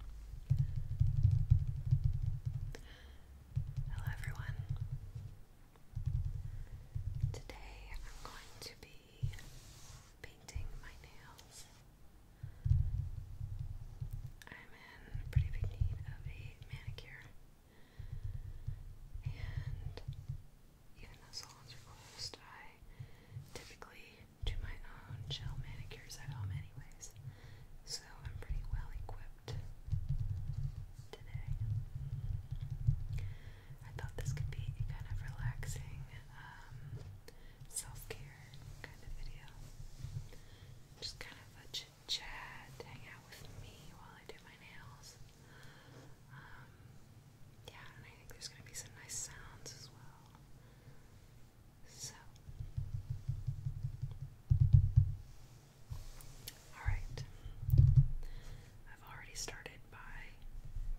Hello everyone. Today I'm going to be painting my nails. I'm in pretty big need of a manicure. And even though salons are closed, I typically do my own gel manicures at home anyways. So I'm pretty well equipped today. I thought this could be a kind of relaxing um, self-care kind of video. Just kind of a chit-chat, hang out with me while I do my nails. Um, yeah, and I think there's going to be some nice sounds as well. So, alright. I've already started by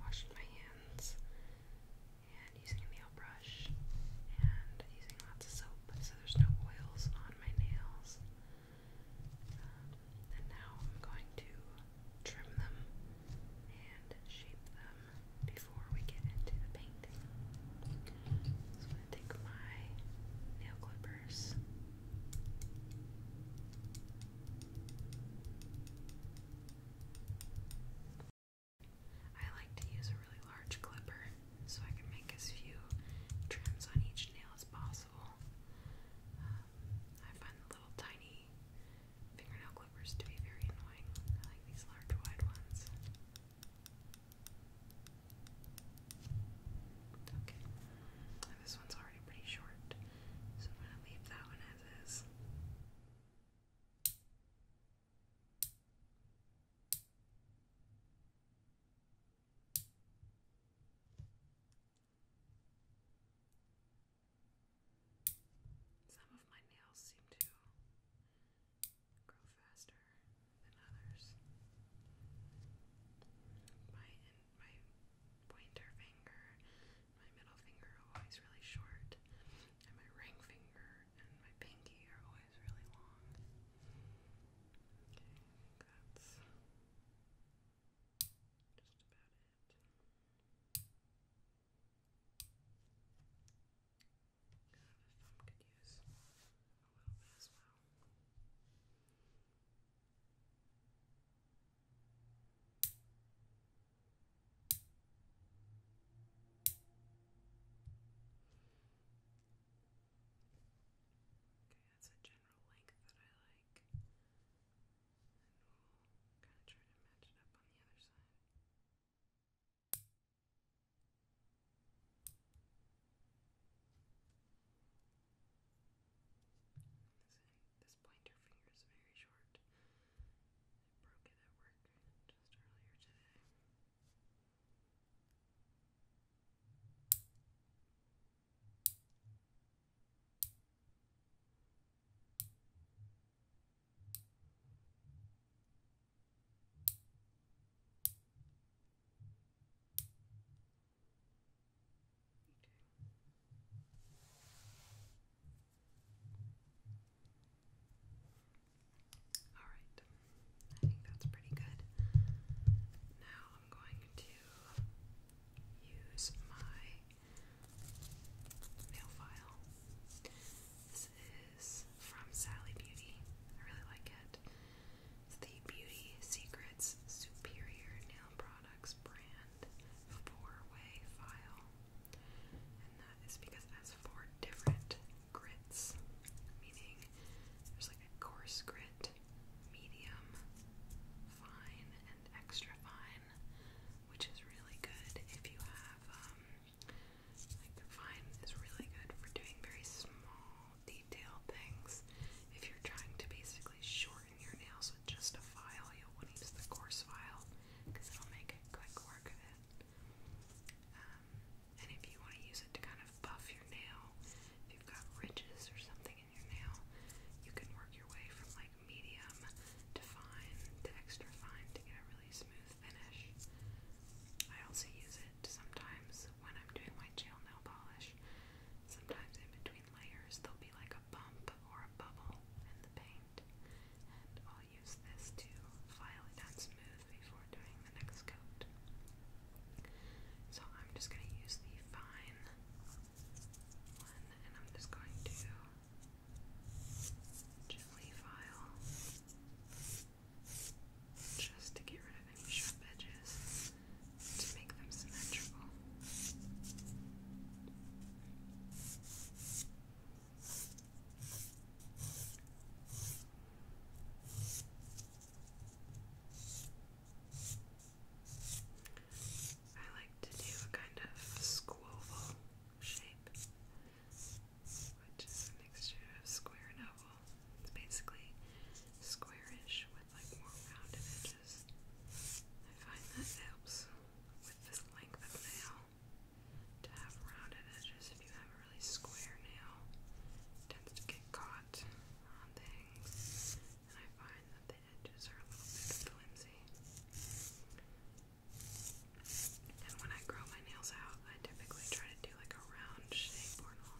washing my hands and using a nail brush and using lots of soap so there's no oils on my nails. Um, and now I'm going to trim them and shape them before we get into the painting. So I'm going to take my nail clippers. I like to use a really large clipper so I can make as few trims on each nail as possible. Um, I find the little tiny fingernail clippers to be very annoying. I like these large wide ones. Okay. this one's already pretty short, so I'm going to leave that one as is. Some of my nails seem to grow faster than others. My my pointer finger, my middle finger are always really short, and my ring finger and my pinky are always really long. Okay, that's just about it. God, the that's a general length that I like. And we'll kind of try to match it up on the other side. This, this pointer finger is very short. I broke it at work just earlier today. All right. I think that's pretty good. Now I'm going to use my nail file is from Sally Beauty. I really like it. It's the Beauty Secrets Superior Nail Products brand four-way file. And that is because it has four different grits, meaning there's like a coarse grit, medium, fine, and extra fine, which is really good if you have um, like Vine is really good for doing very small, detailed things. If you're trying to basically shorten your nails with just a file, you'll want to use the coarse file because it'll make quick work of it. Um, and if you want to use it to kind of buff your nail, if you've got ridges or something in your nail, you can work your way from like medium to fine to extra fine to get a really smooth finish. I also use sometimes when I'm doing my gel nail polish. Sometimes in between layers there'll be like a bump or a bubble in the paint. And I'll use this to file it down smooth before doing the next coat. So I'm just going to use the fine one and I'm just going to gently file just to get rid of any sharp edges to make them symmetrical. I like to do a kind of squoval shape, which is a mixture of square and oval. It's basically squarish with like more rounded edges. I find that helps with this length of nail to have rounded edges. If you have a really square nail, tends to get caught on things, and I find that the edges are a little bit flimsy. And when I grow my nails out, I typically try to do like a round shape or I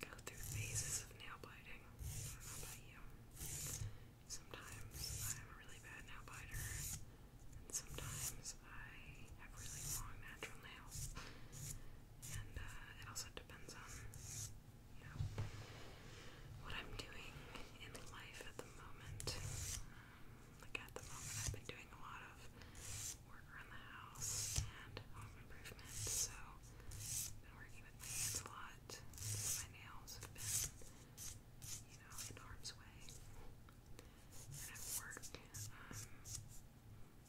go through phases of nail biting. Sometimes I'm a really bad nail biter, and sometimes I have really long natural nails. And uh, it also depends on you what I'm doing in life at the moment. like at the moment, I've been doing a lot of work around the house and home improvement, so been working with hands a lot. My nails have been, you know, in harm's way. at work, um,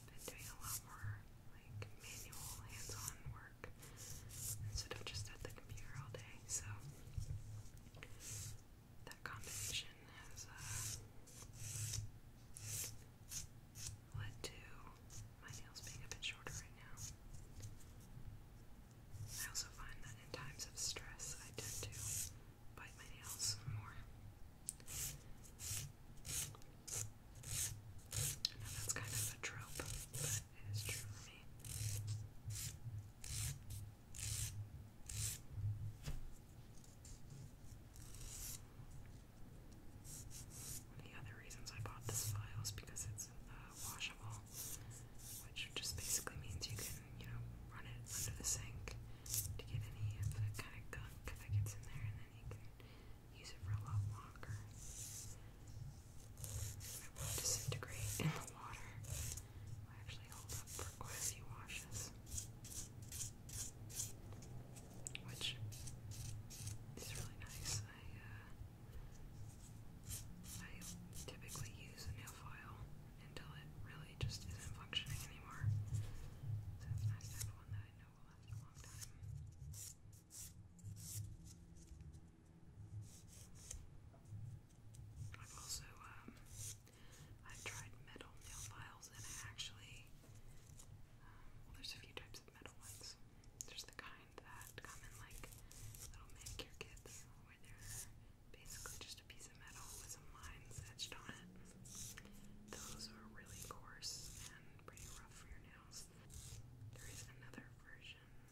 been doing a lot more like manual, hands-on work instead of just at the computer all day. So that combination has uh, led to my nails being a bit shorter right now. I also find that in times of stress, I tend to bite my nails more. I that's kind of a trope, the other reasons I bought this file because it's uh, washable, which just basically means you can, you know, run it under the sink to get any kind of gunk that gets in there, and then you can use it for a lot longer disintegrate in the water. Will actually hold up for quite a few washes, which is really nice. I uh, typically use a nail file until it really just isn't functioning anymore. So it's have one that I know will last a long time. I've also, um, I've tried metal nail files and actually, um, there's a few types of metal ones. There's the kind that come in like little manicure kits where they're basically just a piece of metal with some lines etched on it. Those are really coarse and pretty rough for your nails. There is another version of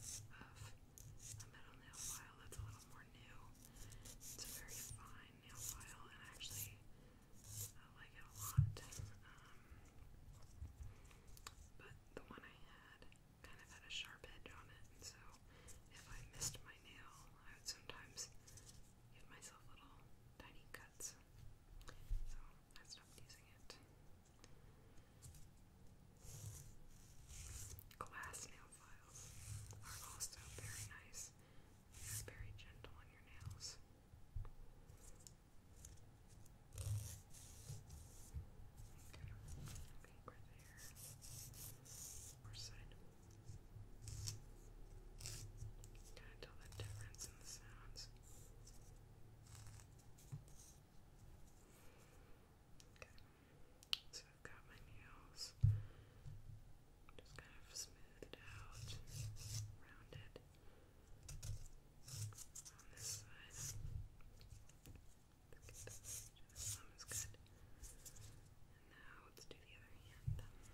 a metal nail file that's a little more new. It's a very fine nail file, and I actually uh, like it a lot. Um, but the one I had kind of had a sharp edge on it, and so if I missed my nail, I would sometimes give myself little tiny cuts. So I stopped using it. Glass nail files are also very nice. It's very gentle on your nails. Good. Okay, right there. Or side. Kind of tell that difference in the sounds. Okay. So I've got my nails just kind of smoothed out, rounded on this side. Let's get this. This one is good. And now let's do the other hand. Okay.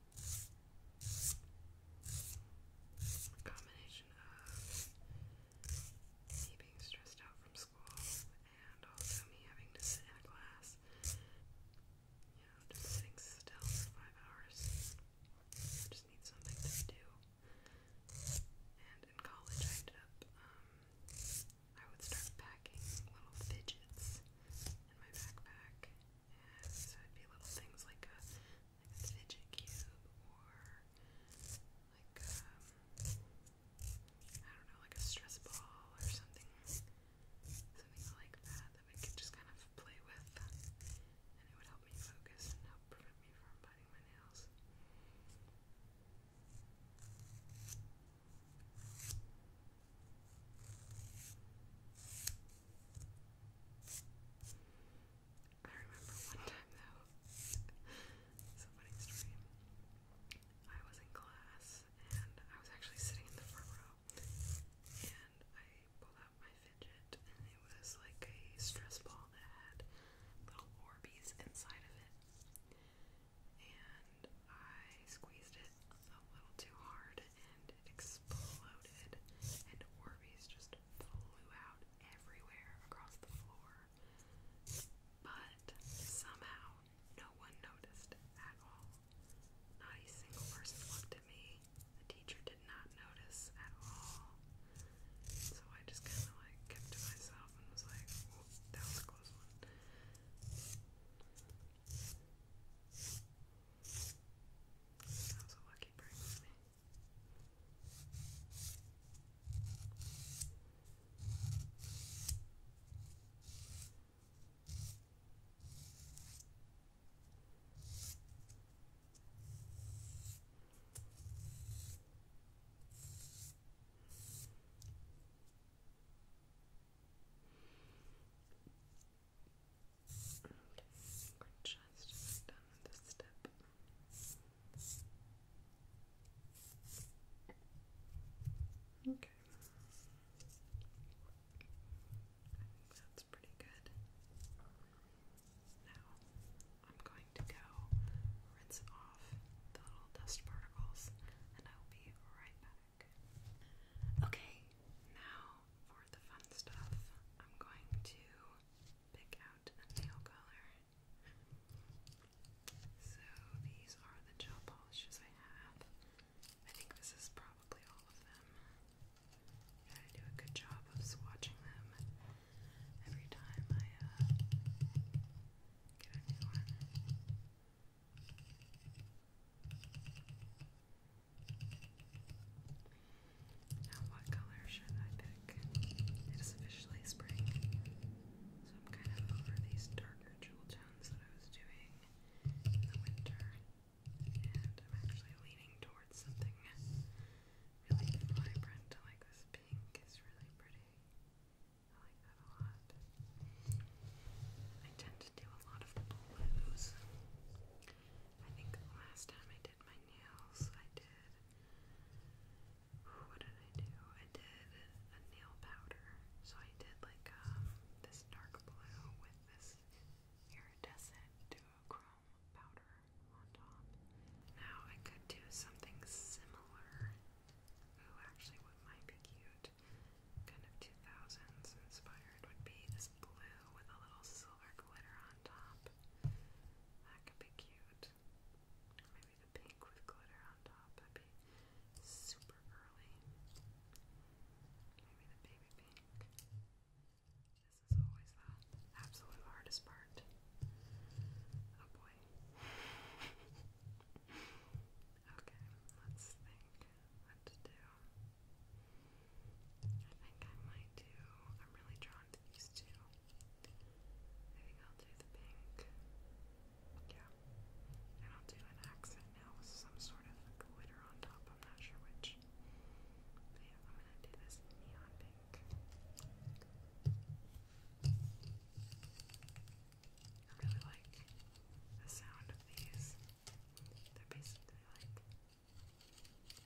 A combination of me being stressed out from school and also me having to sit in class, you know, just sitting still for five hours. just need something to do. And in college, I ended up, um, I would start packing little fidgets in my backpack. So it'd be little things like a like fidget cube or like um I don't know, like a stress ball or something something like that that we could just kind of play with and it would help me focus and help prevent me from biting my nails. I I remember one time though, it's a I was in class and I was actually sitting in the front row and I pulled out my fidget and it was like a stress ball that had little Orbeez inside of it. And I squeezed it a little too hard and it exploded, and Orbeez just flew out everywhere across the floor. But somehow, no one noticed at all. Not a single person looked at me. The teacher did not notice at all. So I just kind of like kept to myself and was like, that was a close one. That was a lucky break for me. Okay. I think that's pretty good. Now, I'm going to go rinse off the little dust particles and I'll be right back. Okay, now for the fun stuff, I'm going to pick out a nail color. So these are the gel polishes I have. I think this is probably all of them. gotta do a good job of swatching them every time I uh, get a new one. Now, what color should I pick? It is officially spring, so I'm kind of over these darker jewel tones that I was doing in the winter, and I'm actually leaning towards something really vibrant. like this pink, it's really pretty. I like that a lot. I tend to do a lot of blues. I think last time I did my nails, I did. What did I do? I did a nail powder. So I did like um, this dark blue with this iridescent duochrome powder on top. Now I could do something similar. actually, what might be cute, kind of 2000s inspired, would be this blue with a little silver glitter on top. That could be cute. Maybe the pink with glitter on top. That'd be super early. Maybe the baby pink. This is always the absolute hardest part. Oh boy. okay, let's think what to do. I think I might do. I'm really drawn to these two. I think I'll do the pink. Yeah. And I'll do an accent now with some sort of glitter on top. I'm not sure which. yeah, I'm gonna do this neon pink. I really like the sound of these. They're basically like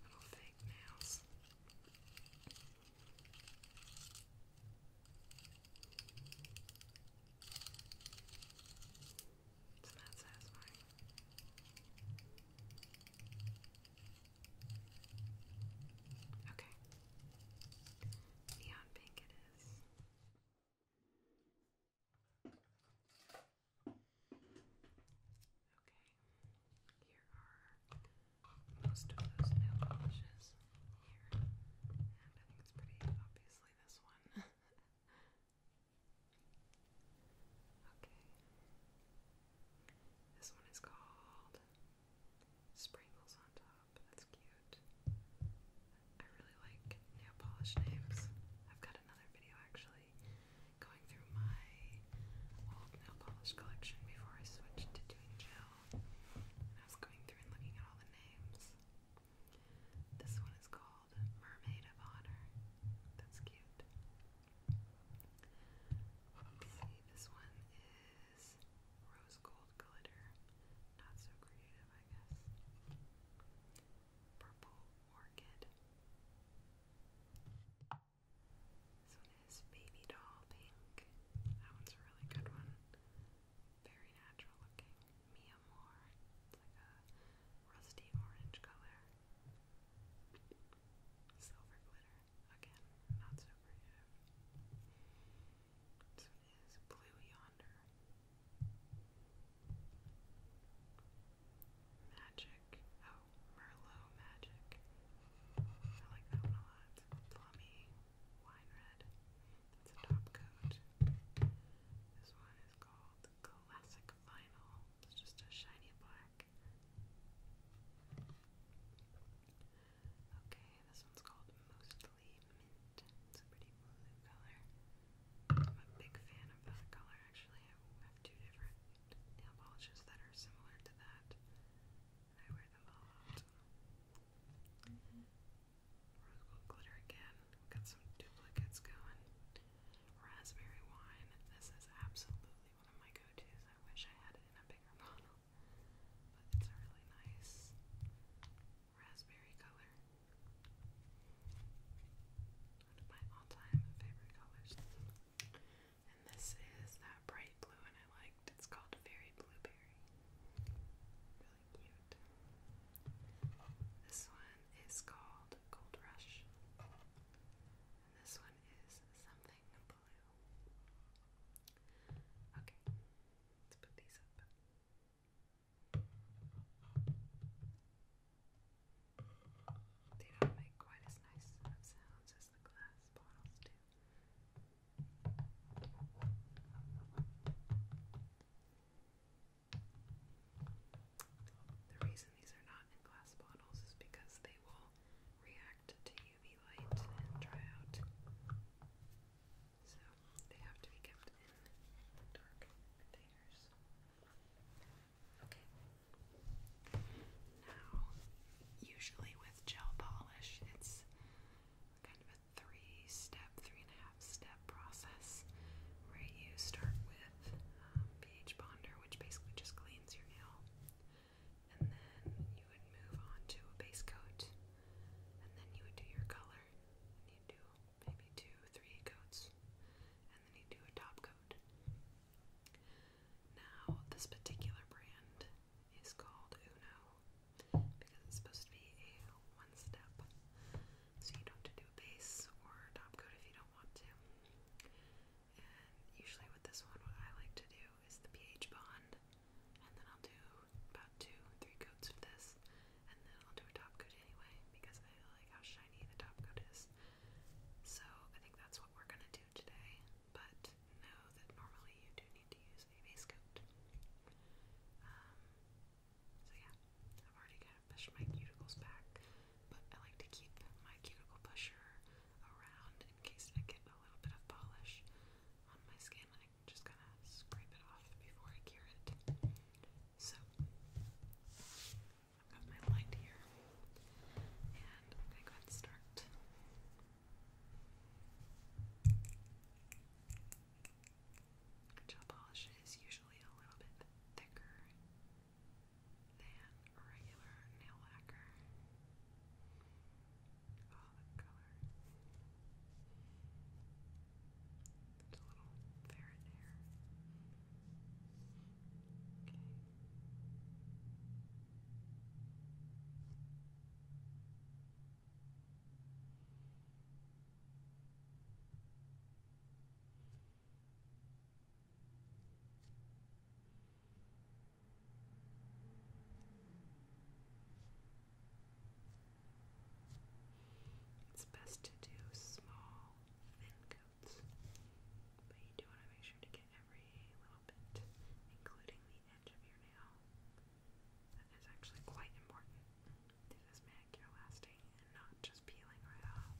little fake nails. It's not satisfying. Okay. Neon pink it is. Okay, here are most of those nail polishes here, and I think it's pretty obviously this one. okay, this one is called Sprinkles on Top. That's cute. I really like nail polish names. I've got another video actually actually going through my old nail polish collection before I switched to doing gel. I was going through and looking at all the names. This one is called Mermaid of Honor. That's cute. see, this one is Rose Gold Glitter. Not so creative, I guess. Purple Orchid. This one is Baby Doll Pink. That one's a really good one. Very natural looking. Mia Moore. It's like a rusty orange color. Silver glitter. Again, not so This one is Blue Yonder. Magic. Oh, Merlot Magic. I like that one a lot. plummy, wine red. That's a top coat. This one is called Classic Vinyl. It's just a shiny black. Okay, this one's called Mostly Mint. It's a pretty blue color. I'm a big fan of that color actually. I have two different nail polishes that are similar to that. I wear them a lot. Rose gold glitter again. got some duplicates going. Raspberry wine. This is absolutely one of my go-tos. I wish I had it in a bigger bottle. But it's a really nice raspberry color. One of my all-time favorite colors. And this is that bright blue one I liked. It's called Fairy Blueberry. Really cute. This one is called Gold Rush. And this one is something blue. Okay, let's put these up. They don't make quite as nice sounds as the glass bottles do. The reason these are not in glass bottles is because they will react to UV light and dry out. So they have to be kept in dark containers. Now, usually with gel polish, it's kind of a three step, three and a half step process where you start with um, pH Bonder, which basically just cleans your nail, and then you would move on to a base coat, and then you would do your color, you do maybe two, three coats, and then you do a top coat. Now, this particular brand is called Uno because it's supposed to be a one step, so you don't have to do a base or top coat if you don't want to. usually, with this one, what I like to do is the pH bond, and then I'll do about two, three coats of this, and then I'll do a top coat anyway because I like how shiny the top coat is. So, I think that's what we're gonna do today but know that normally you do need to use a base coat. Um, so yeah, I've already kind pushed my cuticles back, but I like to keep my cuticle pusher around in case I get a little bit of polish on my skin. I can just kind of scrape it off before I cure it. So, I've got my light here, and I'm going to go ahead and start. Gel polish is usually a little bit thicker than regular nail lacquer. Oh, the color. There's a little ferret hair. It's best to do small thin coats, but you do want to make sure to get every little including the edge of your nail. That is actually quite important to this manicure lasting and not just peeling right off.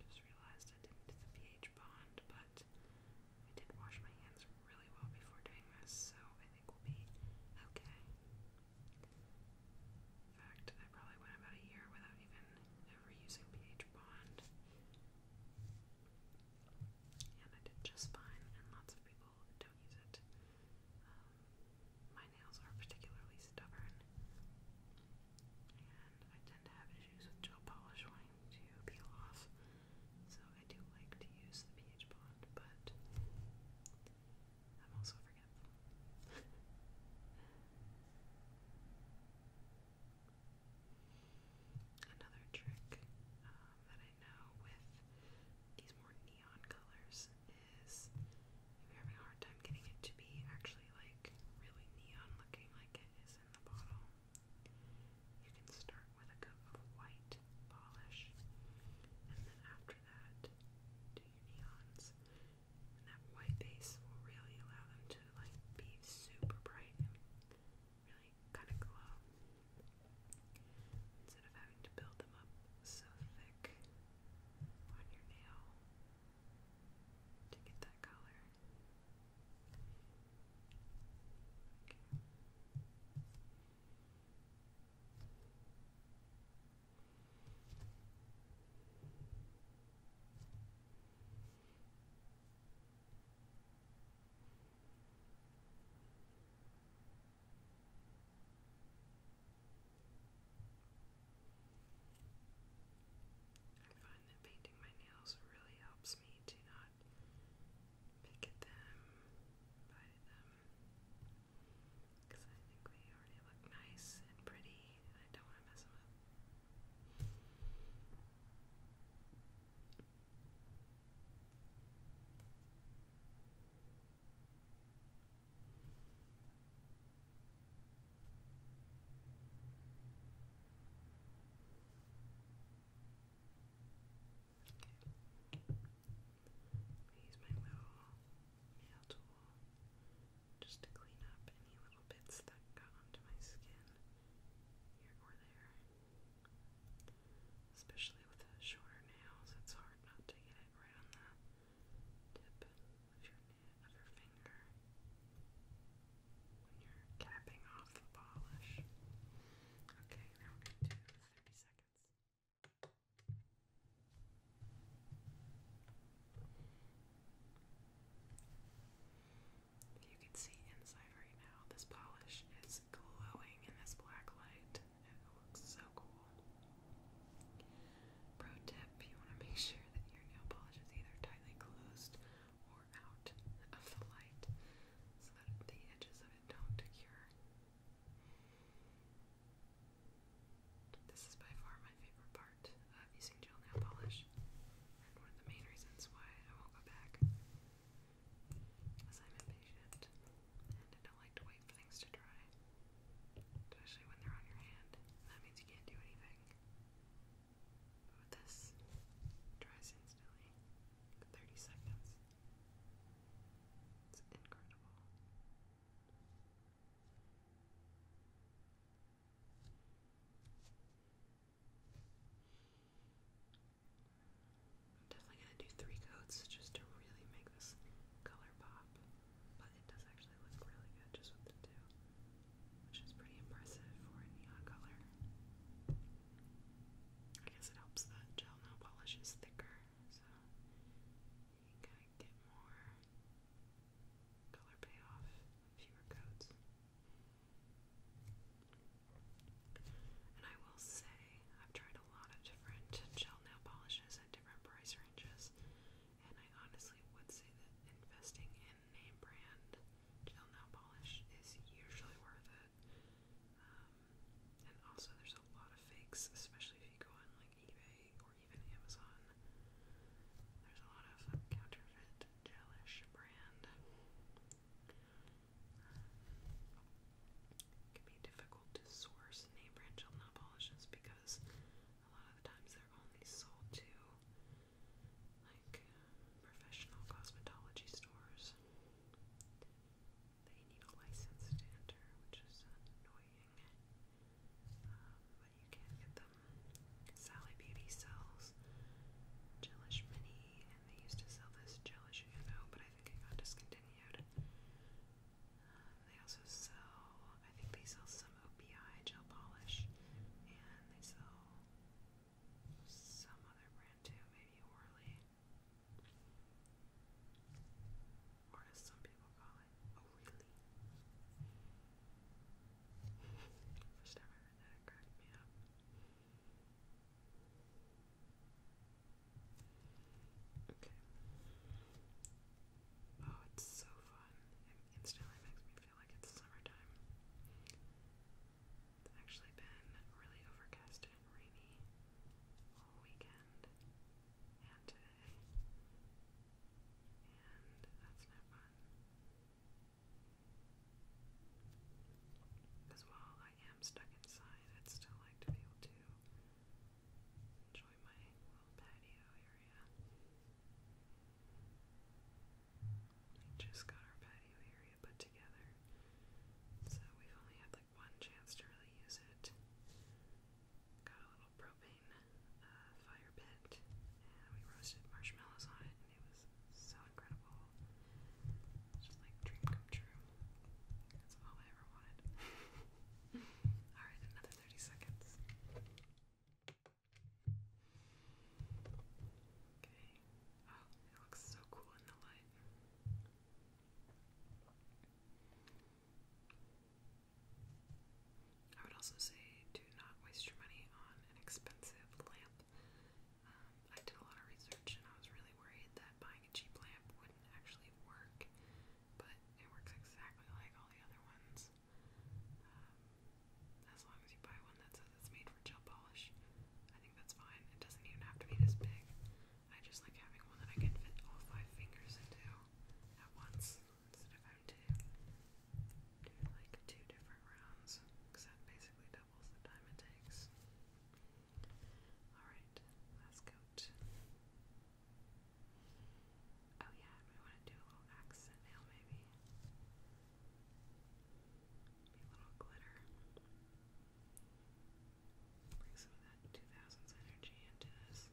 Just realized I didn't do the pH bond, but I did wash my hands really well before doing this, so I think we'll be okay. In fact, I probably went about a year without even ever using pH Bond. And I did just fine, and lots of people don't use it. Um, my nails are particularly stubborn, and I tend to have issues with gel polish wanting to peel off. So I do like to use the pH Bond, but i Another trick uh, that I know with these more neon colors is if you're having a hard time getting it to be actually like really neon looking like it is in the bottle, you can start with a coat of white polish and then after that do your neons. And that white base will really allow them to like be super bright and really kind of glow. Instead of having to build them up so thick on your nail to get that color. Okay. I find that painting my nails really helps me to not pick at them, bite them because I think we already look nice and pretty, and I don't want to mess them up. Okay. Use my little nail tool wall just to clean up any little bits that got onto my skin here or there. Especially with the shorter nails, it's hard not to get it right on the tip of your finger when you're capping off the polish. Okay, now we're going to do 30 seconds. You can see inside right now, this polish is glowing in this black light. It looks so cool. Pro tip you want to make sure that your nail polish is either tightly closed or out of the light so that the edges of it don't cure. This is by far my favorite part of using gel nail polish, and one of the main reasons why I won't go back. Because I'm impatient and I don't like to wait for things to dry, especially when they're on your hand. That means you can't do anything. But this, dries instantly. 30 seconds. It's incredible. I'm definitely going to do three coats just to really make this color pop, but it does actually look really good just with the two, which is pretty impressive for a neon color. I guess it helps that gel now polish is thicker, so you can kind get more color payoff, fewer coats. And I will say, I've tried a lot of different gel nail polishes at different price ranges, and I honestly would say that investing in name brand gel nail polish is usually worth it. Um, and also, there's a lot of fakes, especially if you go on like eBay or even Amazon. There's a lot of counterfeit gelish brand. It can be difficult to source name brand gel nail polishes because a lot of the times they're only sold to like professional cosmetology stores. They need a license to enter, which is annoying but you can get them. Sally Beauty sells Jellish Mini, and they used to sell this Jellish Uno, but I think it got discontinued. Uh, they also sell, I think they sell some OPI gel polish, and they sell some other brand too, maybe Orly. Or as some people call Oh, really? First time I heard that, cracked me up. Okay. Oh, it's so fun. It instantly makes me feel like it's summertime. It's actually been really overcast and rainy all weekend and today. And that's not fun. Because while I am stuck inside, I'd still like to be able to enjoy my little patio area. We just got our patio area put together, so we've only had like one chance to really use it. Got a little propane propane uh, fire pit, and we roasted marshmallows on it, and it was so incredible. Just like dream come true. That's all I ever wanted. all right, another thirty seconds. Okay. Oh, it looks so cool in the light. I would also say do not waste your money on an expensive lamp. Um, I did a lot of research and I was really worried that buying a cheap lamp wouldn't actually work, but it works exactly like all the other ones. Um, as long as you buy one that says it's made for gel polish, I think that's fine. It doesn't even have to be this big. I just like having one that I can fit all five fingers into at once instead of having to do like two different rounds because that basically doubles the time it takes. Alright, last coat. Oh yeah, I want to do a little accent now maybe. Maybe little glitter. Bring some of that 2000s energy into this.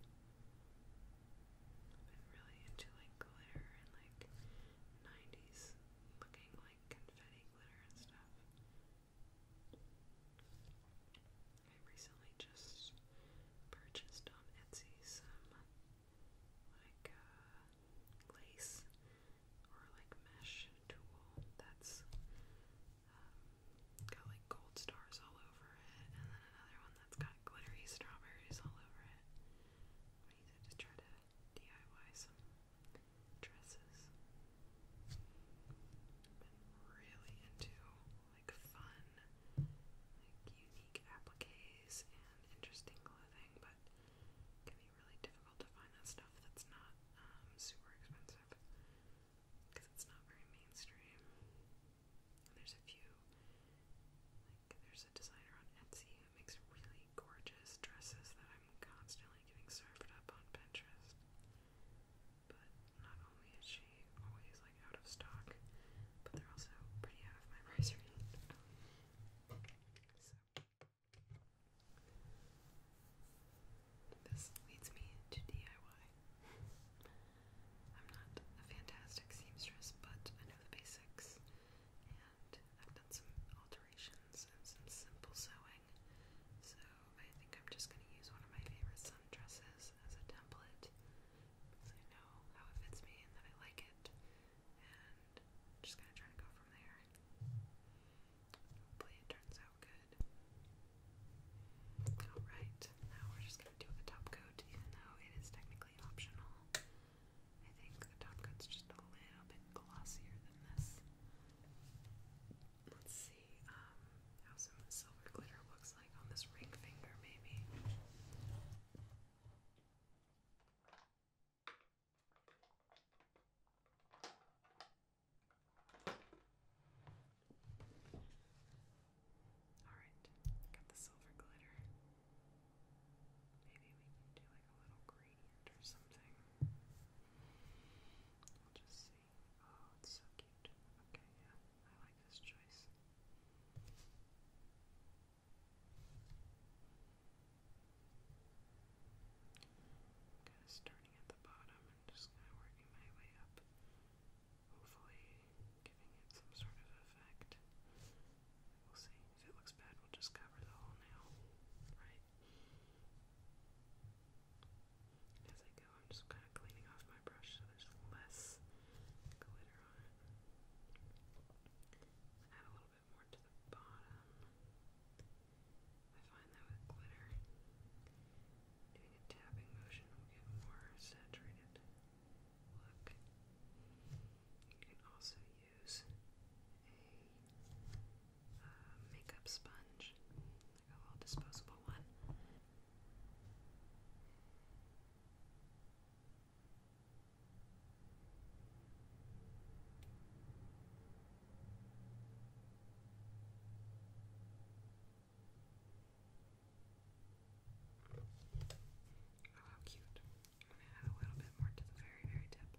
I'm really into like glitter and like 90s looking like confetti glitter and stuff. I recently just purchased on Etsy some like uh, lace or like mesh tool that's um, got like gold stars all over it, and then another one that's got glittery strawberries all over it. I need to just try to DIY some dresses. I've been really into like fun, like unique appliques and interesting clothing, but it can be really difficult to find that stuff that's not um, super expensive because it's not very mainstream. And there's a few, like, there's designer on Etsy who makes really gorgeous dresses that I'm constantly getting served up on Pinterest. But not only is she always like out of stock, but they're also pretty out of my price range. So this leads me to DIY. I'm not a fantastic seamstress, but I know the basics and I've done some alterations and some simple sewing. So I think I'm just going to use one of my favorite sundresses as a template because I know how it fits me and that I like it, and just going to try to go from there. Hopefully, it turns out good. Alright, now we're just going to do a top coat, even though it is technically optional. I think the top coat's just a little bit glossier than this. Let's see um, how some silver glitter looks like on this ring finger, maybe. Alright, got the silver glitter. Maybe we can do like a little gradient or something. We'll just see. Oh, it's so cute. Okay, yeah, I like this choice. Kind of starting at the bottom and just kind of working my way up, hopefully giving it some sort of effect. We'll see. If it looks bad, we'll just cover the hole now, right? As I go, I'm just kind of cleaning off my brush so there's less glitter on Add a little bit more to the bottom. I find that with glitter, doing a tapping motion will get more saturated look. You can also use a uh, makeup sponge, like a little disposable one. Oh, how cute. I'm gonna add a little bit more to the very, very tip.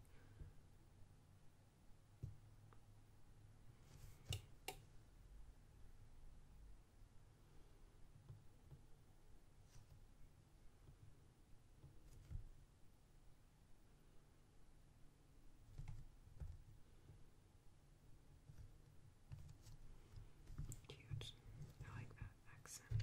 Cute. I like that accent.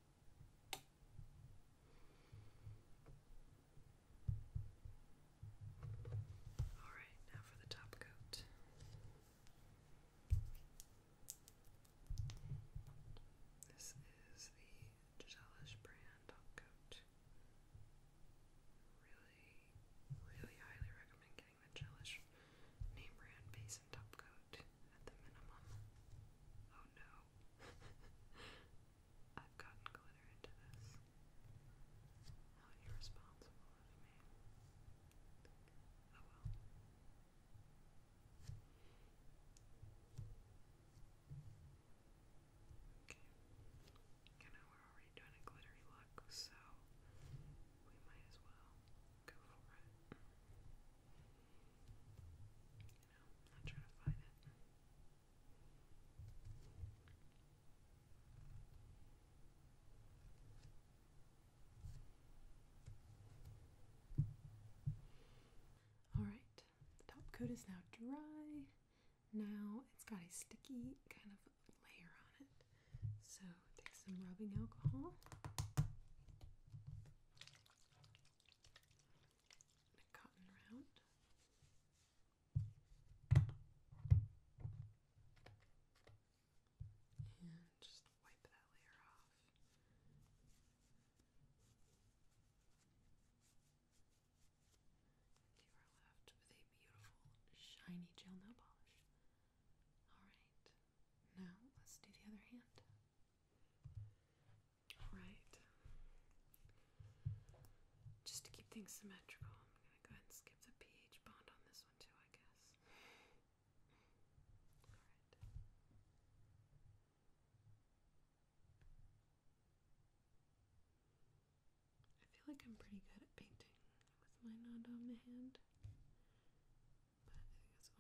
Alright, now for the top coat. This is the Giselish brand top coat. Really, really highly recommend getting the Giselish name brand base and top coat at the minimum. Oh no, I've gotten glitter into this. How irresponsible of me. Oh well. Okay. You know, we're already doing a glittery look, so we might as well go for it. Alright, the top coat is now dry. Now it's got a sticky kind of layer on it. So take some rubbing alcohol just wipe that layer off. you are left with a beautiful, shiny gel nail polish. Alright, now let's do the other hand. Right. Just to keep things symmetrical, I'm going to go ahead and skip the pH bond on this one too, I guess. I feel like I'm pretty good at painting with my nod on the hand, but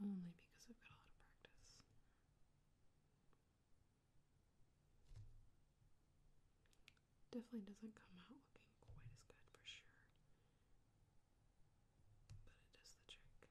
I only because I've got a lot of practice. Definitely doesn't come out looking quite as good for sure, but it does the trick.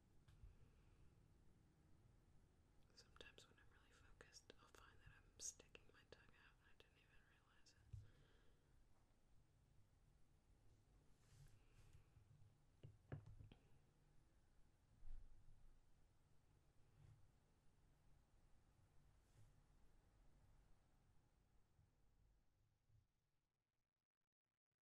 Sometimes when I'm really focused, I'll find that I'm sticking my tongue out and I didn't even realize it.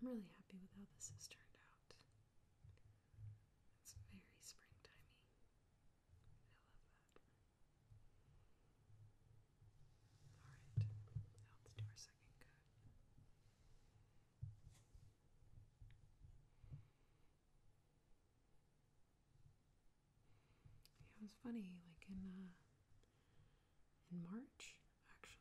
I'm really happy with how this has turned out. It's very springtimey. I love that. Alright, now let's do our second coat. it was funny, like in uh, in March actually.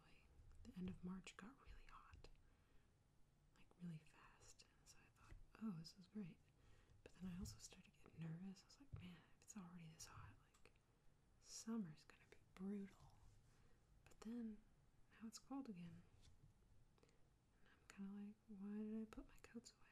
The end of March got really hot, like really fast, and so I thought, oh, this is great. But then I also started getting nervous. I was like, man, if it's already this hot, like summer's gonna be brutal. But then now it's cold again. I'm kind of like, why did I put my coats away?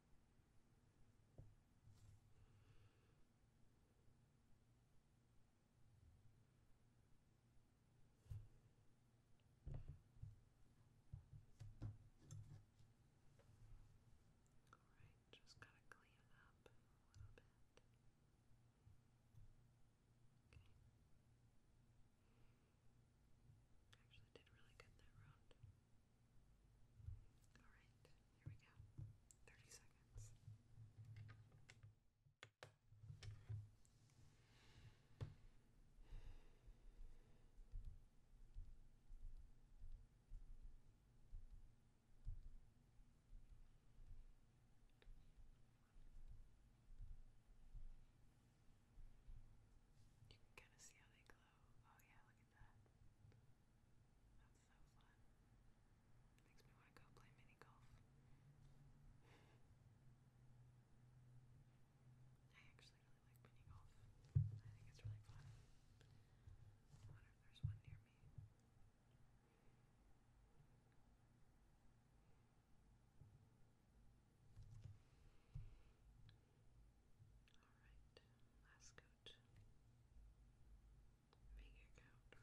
Alright, just gotta clean it up a little bit. Okay. Actually did really good that round. Alright, here we go. 30 seconds. You can kind of see how they glow. Oh, yeah, look at That's so fun. Makes me want to go play mini golf. I actually really like mini golf. I think it's really fun. I wonder if there's one near me. Alright, last coat. Mega coat. Okay.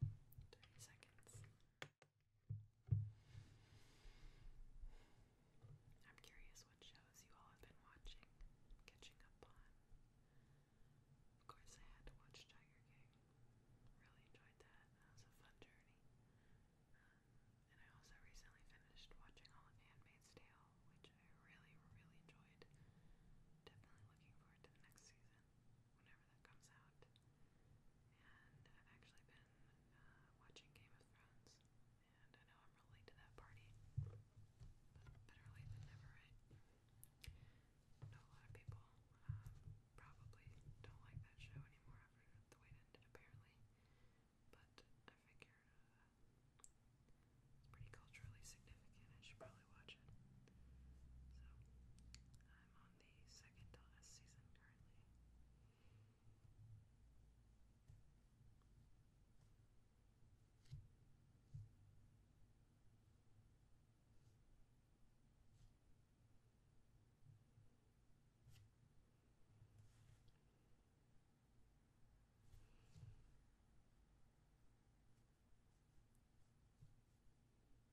30 seconds. I'm curious what shows you all have been watching, catching up on. Of course, I had to watch Tiger King. Really enjoyed that. That was a fun journey. Um, and I also recently finished watching all of Handmaid's Tale, which I really, really enjoyed. Definitely looking forward to the next season whenever that comes out. And I've actually been uh, watching Game of Thrones, and I know I'm really to that party, but better late than never, I know a lot of people um, probably don't like that show anymore after the way it ended, apparently, but I figure uh, it's pretty culturally significant. I should probably watch it. So, I'm on the second to last season currently.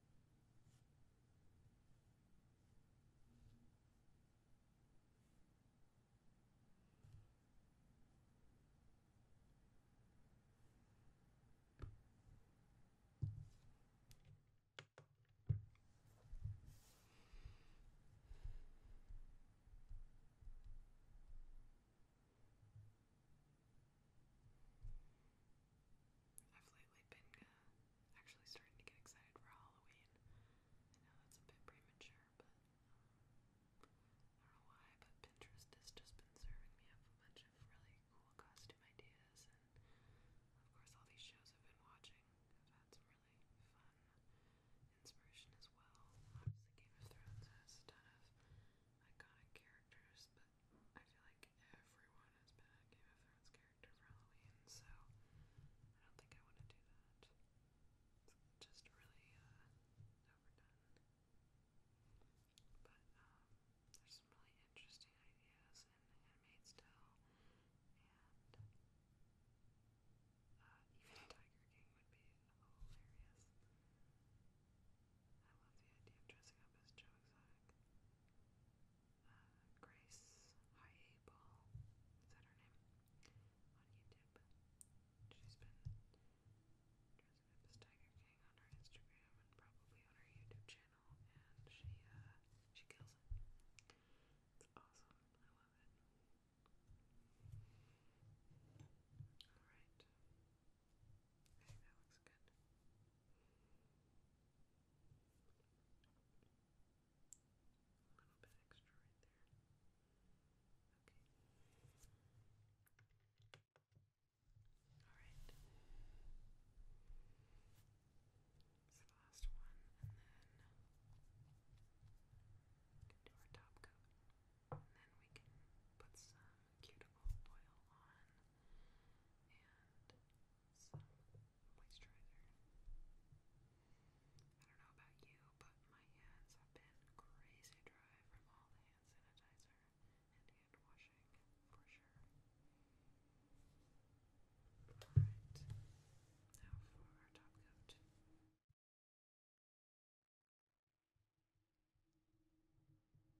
I've lately been uh, actually starting to get excited for Halloween. I know that's a bit premature, but um, I don't know why, but Pinterest has just been serving me up a bunch of really cool costume ideas, and of course, all these shows I've been watching have had some really fun inspiration as well. Obviously, Game of Thrones has a ton of iconic characters, but I feel like everyone has been Game of Thrones character character for Halloween, so I don't think I want to do that. It's just really uh, overdone. But um, there's some really interesting ideas in Handmaid's Tale, and uh, even Tiger King would be hilarious. I love the idea of dressing up as Joe Exotic uh, Grace High is that her name? On YouTube. She's been dressed up as Tiger King on her Instagram and probably on her YouTube channel, and she she kills it. It's awesome. I love it. All right. I think that looks good. A little Alright. It's the last one, and then do our top coat. And then we can put some cuticle oil on some I don't know about you, but my hands have been crazy dry from all the hand sanitizer and hand washing, for sure. Alright, now for our top coat.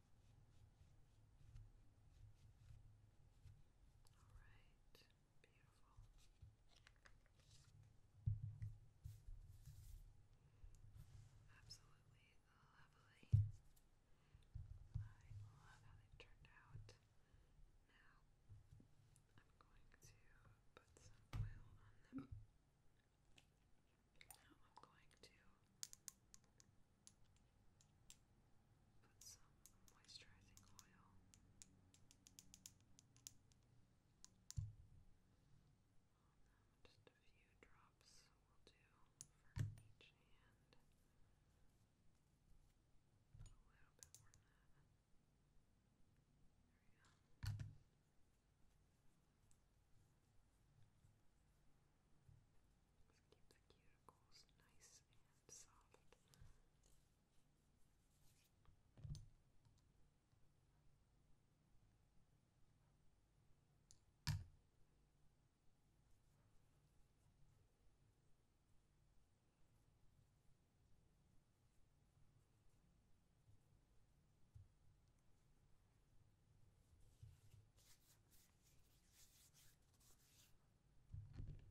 All right, beautiful. Absolutely lovely. I love how they turned out. Now, I'm going to put some oil on them. Now I'm going to put some moisturizing oil. Just a few drops will do for each hand. A little bit more than that. There we go. Let's keep the cuticles nice and soft. Alright, and then just a little bit of moisturizer.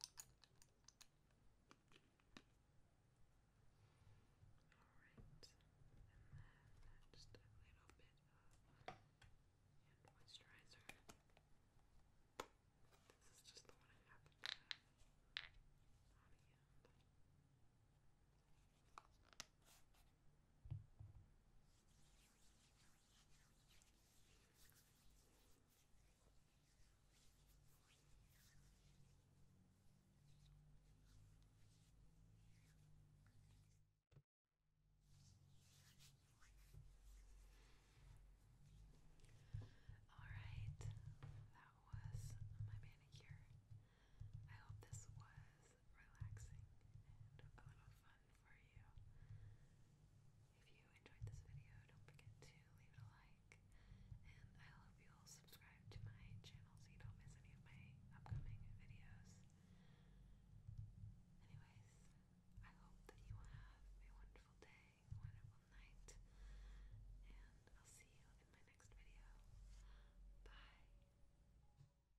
This is just the one I happen to have on Alright, that was my manicure. I hope this was is relaxing and a little fun for you. If you enjoyed this video, don't forget to leave it a like, and I hope you'll subscribe to my channel so you don't miss any of my upcoming videos. Anyways, I hope that you have a wonderful day, wonderful night, and I'll see you in my next video. Bye!